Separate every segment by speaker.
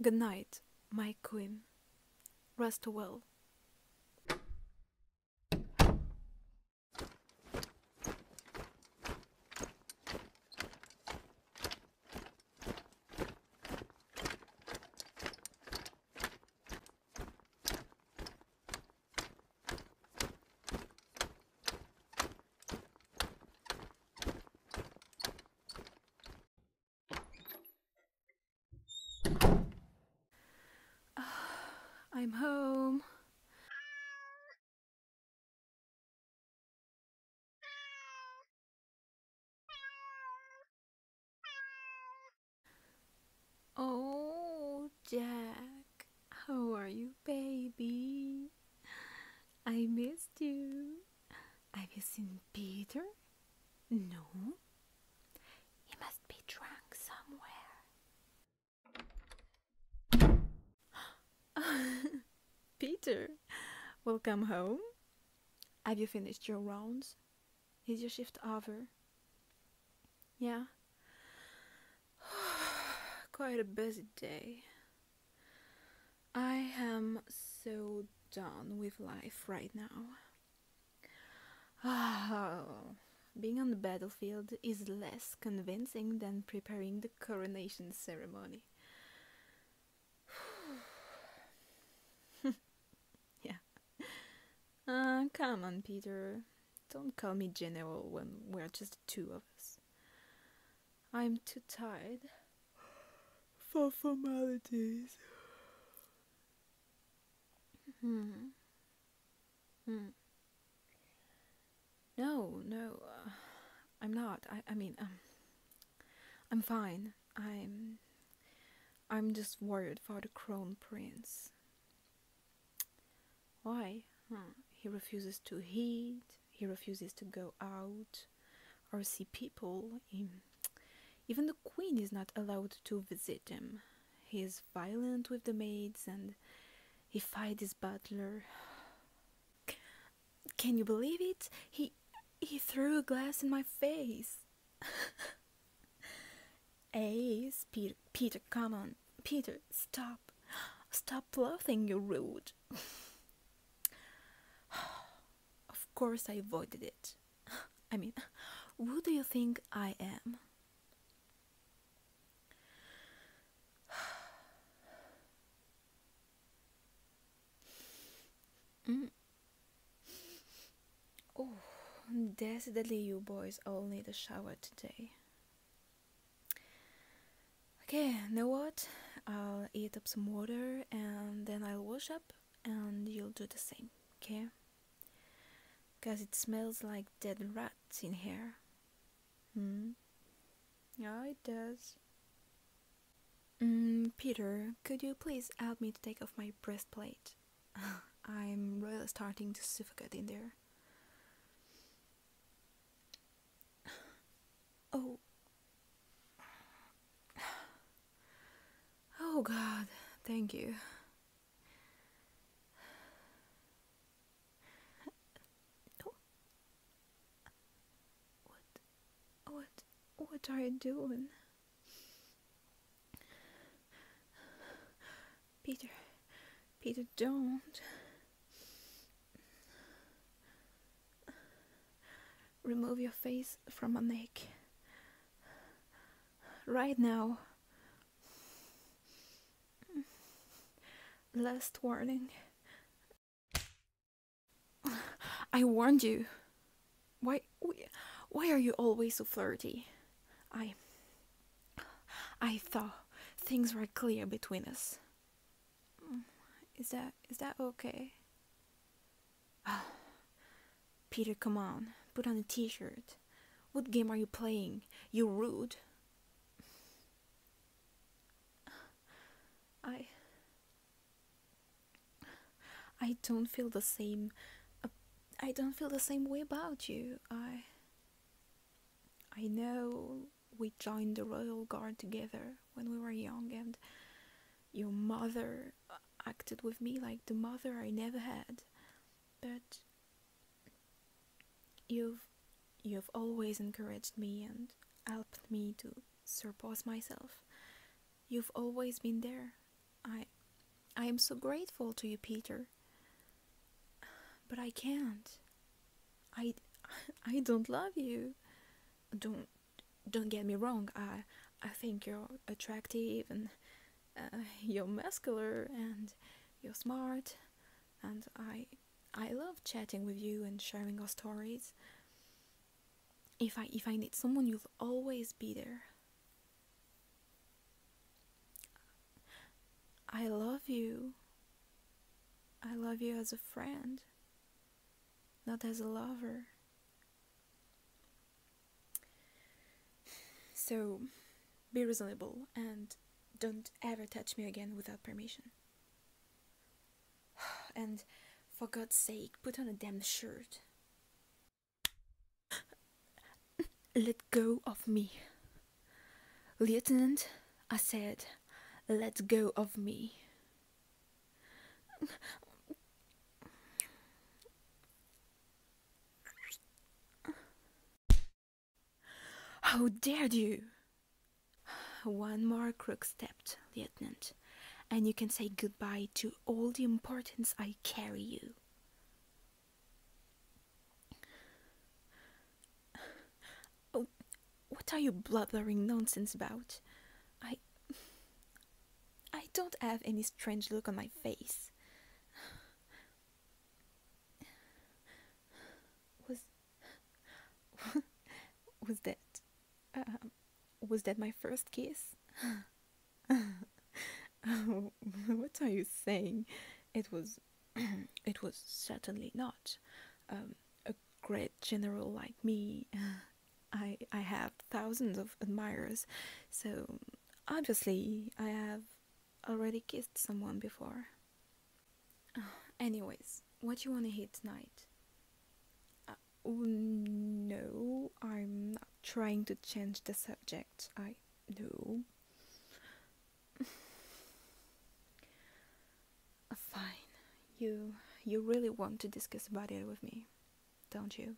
Speaker 1: Good night, my queen. Rest well. I'm home. Oh, Jack, how are you, baby? I missed you. Have you seen Peter? No. He must be drunk somewhere. Peter, welcome home. Have you finished your rounds? Is your shift over? Yeah. Quite a busy day. I am so done with life right now. being on the battlefield is less convincing than preparing the coronation ceremony. yeah. Uh, come on, Peter. Don't call me General when we're just two of us. I'm too tired for formalities. Hmm. Hmm. No, no, uh, I'm not. I, I mean, um, I'm fine. I'm. I'm just worried for the crown prince. Why? Hmm. He refuses to eat, he refuses to go out or see people. even the queen is not allowed to visit him. He is violent with the maids and he fights his butler. Can you believe it? He he threw a glass in my face. Ace, Peter, Peter, come on. Peter, stop. Stop laughing, you rude. of course, I avoided it. I mean, who do you think I am? Mm. Oh, decidedly, you boys all need a shower today. Okay, now what? I'll eat up some water and then I'll wash up and you'll do the same, okay? Because it smells like dead rats in here. Hmm? Yeah, it does. Mm, Peter, could you please help me to take off my breastplate? I'm really starting to suffocate in there. Oh. Oh, God. Thank you. What are you doing? Peter, Peter, don't. Remove your face from my neck. Right now. Last warning. I warned you. Why why are you always so flirty? I I thought things were clear between us. Mm, is that is that okay? Ah, Peter, come on. Put on a t-shirt. What game are you playing? You rude. I I don't feel the same uh, I don't feel the same way about you. I I know we joined the Royal Guard together when we were young, and your mother uh, acted with me like the mother I never had. But you've you've always encouraged me and helped me to surpass myself. You've always been there. I I am so grateful to you, Peter. But I can't. I I don't love you. Don't don't get me wrong. I I think you're attractive and uh, you're muscular and you're smart and I I love chatting with you and sharing our stories. If I if I need someone, you'll always be there. I love you. I love you as a friend, not as a lover. So be reasonable and don't ever touch me again without permission. And for God's sake, put on a damn shirt. Let go of me. Lieutenant, I said, let go of me. How dared you! One more crook stepped, Lieutenant, and you can say goodbye to all the importance I carry you. Oh, what are you blathering nonsense about? I. I don't have any strange look on my face. Was. was that. Uh, was that my first kiss? what are you saying? It was, it was certainly not. Um, a great general like me, I I have thousands of admirers, so obviously I have already kissed someone before. Anyways, what you wanna hear tonight? Uh, oh, no, I'm not trying to change the subject. I no. Fine. You you really want to discuss about it with me, don't you?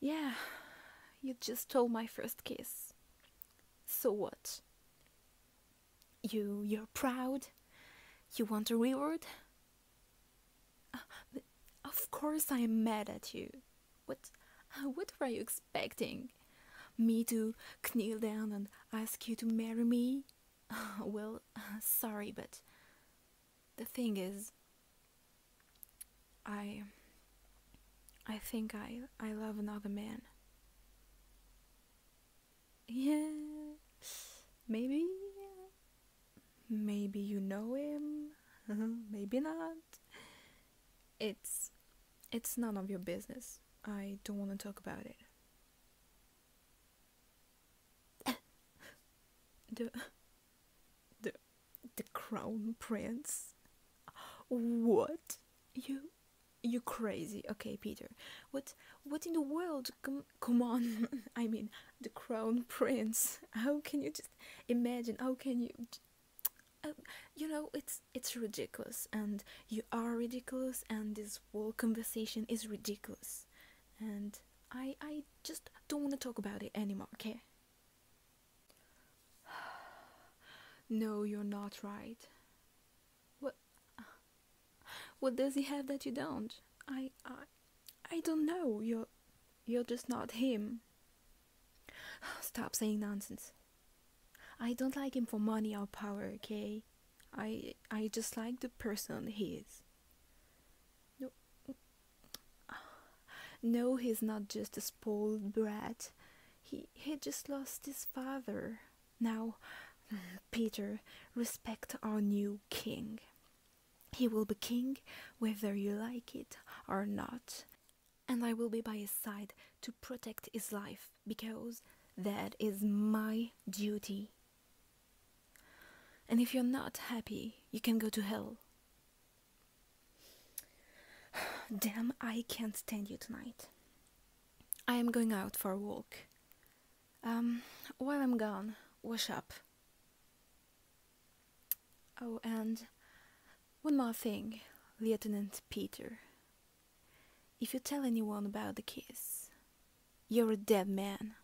Speaker 1: Yeah. You just told my first kiss. So what? You you're proud? You want a reward? Uh, of course I am mad at you. What, uh, what were you expecting? Me to kneel down and ask you to marry me? Uh, well, sorry, but the thing is, I, I think I, I love another man. Yeah, maybe. Maybe you know him, maybe not. It's it's none of your business. I don't want to talk about it. the the the crown prince. What? You you crazy. Okay, Peter. What what in the world? come on i mean the crown prince how can you just imagine how can you um, you know it's it's ridiculous and you are ridiculous and this whole conversation is ridiculous and i i just don't want to talk about it anymore okay no you're not right what what does he have that you don't? I I I don't know. You're you're just not him. Stop saying nonsense. I don't like him for money or power, okay? I I just like the person he is. No, no, he's not just a spoiled brat. He he just lost his father. Now, Peter, respect on you king. He will be king whether you like it or not, and I will be by his side to protect his life because that is my duty. And if you're not happy, you can go to hell. Damn, I can't stand you tonight. I am going out for a walk. Um, while I'm gone, wash up. Oh, and one more thing, Lieutenant Peter. If you tell anyone about the kiss, you're a dead man.